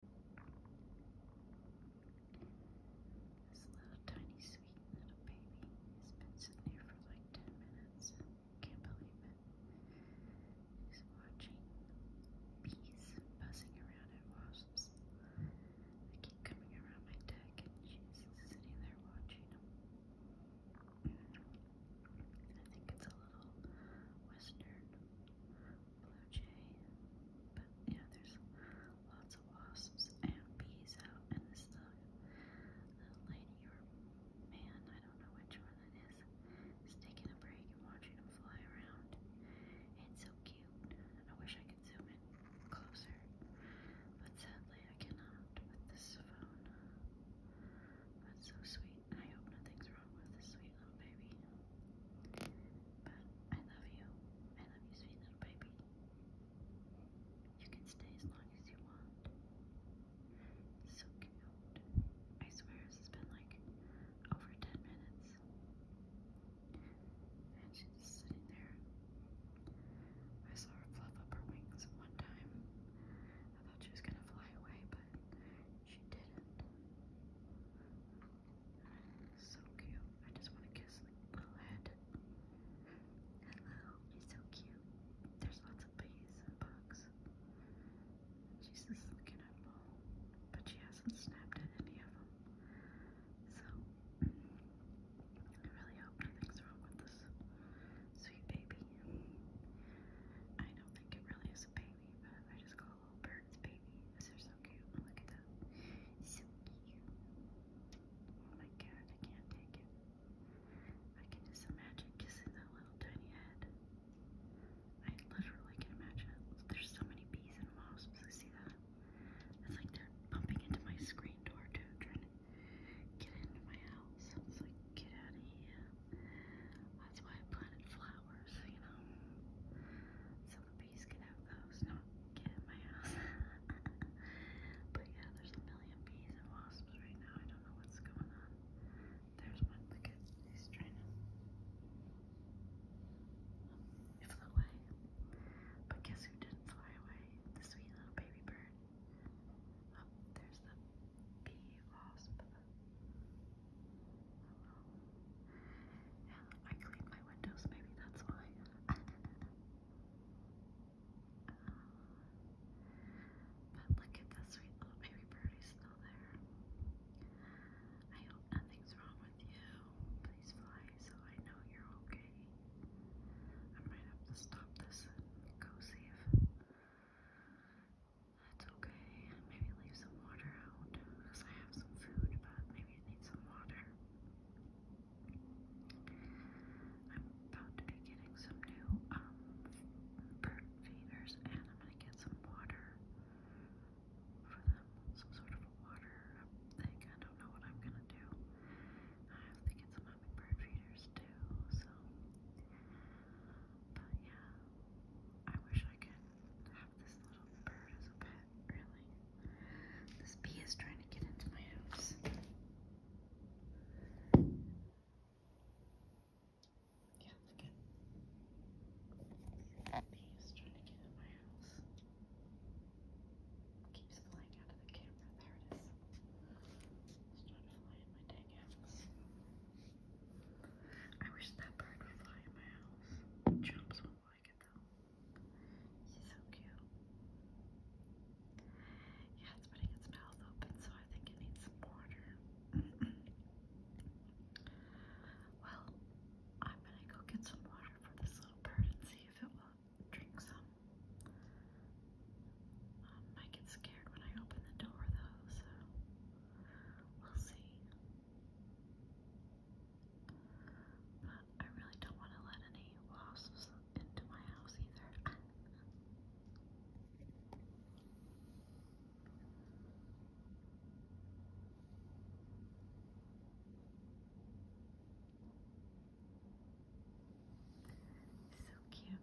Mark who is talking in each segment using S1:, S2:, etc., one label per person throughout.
S1: This little tiny sweet little baby has been sitting here for like 10 minutes. Can't believe it. He's watching bees buzzing around and wasps. They keep coming around my deck and she's sitting there watching them. I think it's a little western blue jay, but yeah, there's lots of wasps and bees out, and this little, lady or man, I don't know which one it is, is taking a break and watching them fly around. It's so cute. I wish I could zoom in closer, but sadly I cannot with this phone. That's so sweet. I hope nothing's wrong with this sweet little baby. But I love you. I love you, sweet little baby. You
S2: can stay as long as you want. So cute. I swear this has been like over 10 minutes. And she's just sitting there. I saw her fluff up her wings one time I thought she was gonna fly away, but she didn't. So cute. I just want to kiss the head. Hello, you so cute. There's lots of bees and bugs. She's just looking but she hasn't snapped at any of them. So, I really hope nothing's wrong with this sweet baby. I know don't think it really is a baby, but I just call a little bird's baby. These are so cute. Oh,
S1: look at them. So cute. Oh my god, I can't take it. I can just imagine kissing that little tiny head. I literally can imagine it. There's so many bees and wasps. I see that. It's like they're bumping into my screen door too, trying to get into my house. I was like, get out of here. That's why I planted flowers, you know, so the bees can have those, not get in my house. but yeah, there's a million bees and wasps right now. I don't know what's going on. There's one. Look at he's trying to. It flew away. But guess who didn't fly away? The sweet little baby bird there's oh, the bee wasp.
S2: I clean my windows, maybe that's why. but look at this sweet little baby birdie still there. I hope nothing's wrong with you. Please fly so I know you're okay. I might have to stop this and go save. That's okay. Maybe leave some water out because I have some food, but maybe I need some water. I'm about to be getting some new bird um, feeders, and I'm gonna get some water for them. Some sort of a water thing. I don't know what I'm gonna do. I have to get some comic book readers so but yeah. I wish I could have this little bird as a pet, really. This bee is trying to get into my house. Yeah, look at. Bee is trying to get in my house. Keeps flying out of the camera. There it is. It's trying to fly in my dang house. I wish that bird would fly in my house. Chumps won't like it though.
S1: She's so cute. Yeah, it's putting its mouth open, so I think it needs some water. well, I'm gonna go get some water for this little bird and see if it will drink some. Um, I get scared when I open the door though, so we'll see. But I really don't want to let any wasps into my house either. So cute.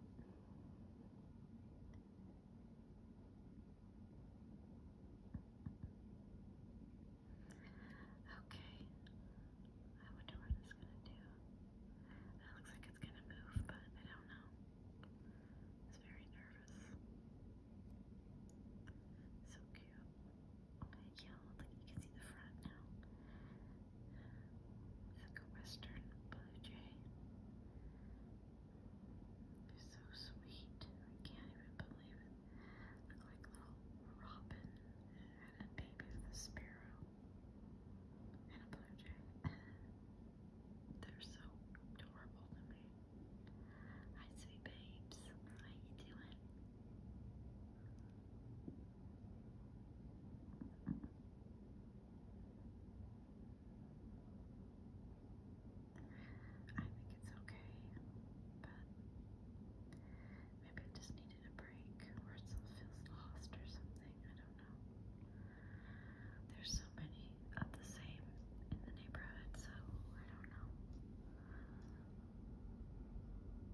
S1: Okay. I wonder what it's gonna do. That looks like it's gonna move, but I don't know. It's
S2: very nervous. So cute. Okay, yeah, like you can see the front now. a western blue jay. so sweet. I can't even believe it. Look like little robin and
S1: a baby sparrow and a blue jay. They're so adorable Hi, sweet babes. How you doing? I think
S2: it's okay, but maybe I just needed a break or it feels lost or something. I don't know. There's so many of the same in the neighborhood, so I don't know.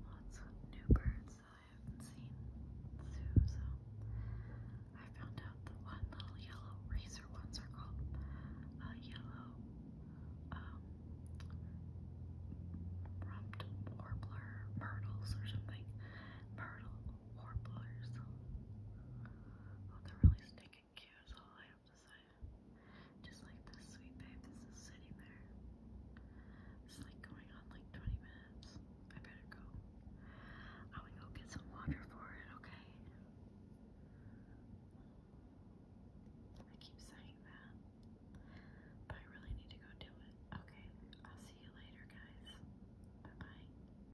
S2: Lots of new birds that I haven't seen too, so I found out the one little yellow razor ones are called uh, yellow um, rumped warbler myrtles or something. Myrtle warblers. Oh, they're really stinking thank is all I have to say. Just like this sweet babe, this is sitting there. It's like going on like 20 minutes. I better go. I would go get some water for it, okay? I keep saying that. But I really need to go do it. Okay, I'll see you later, guys. Bye bye.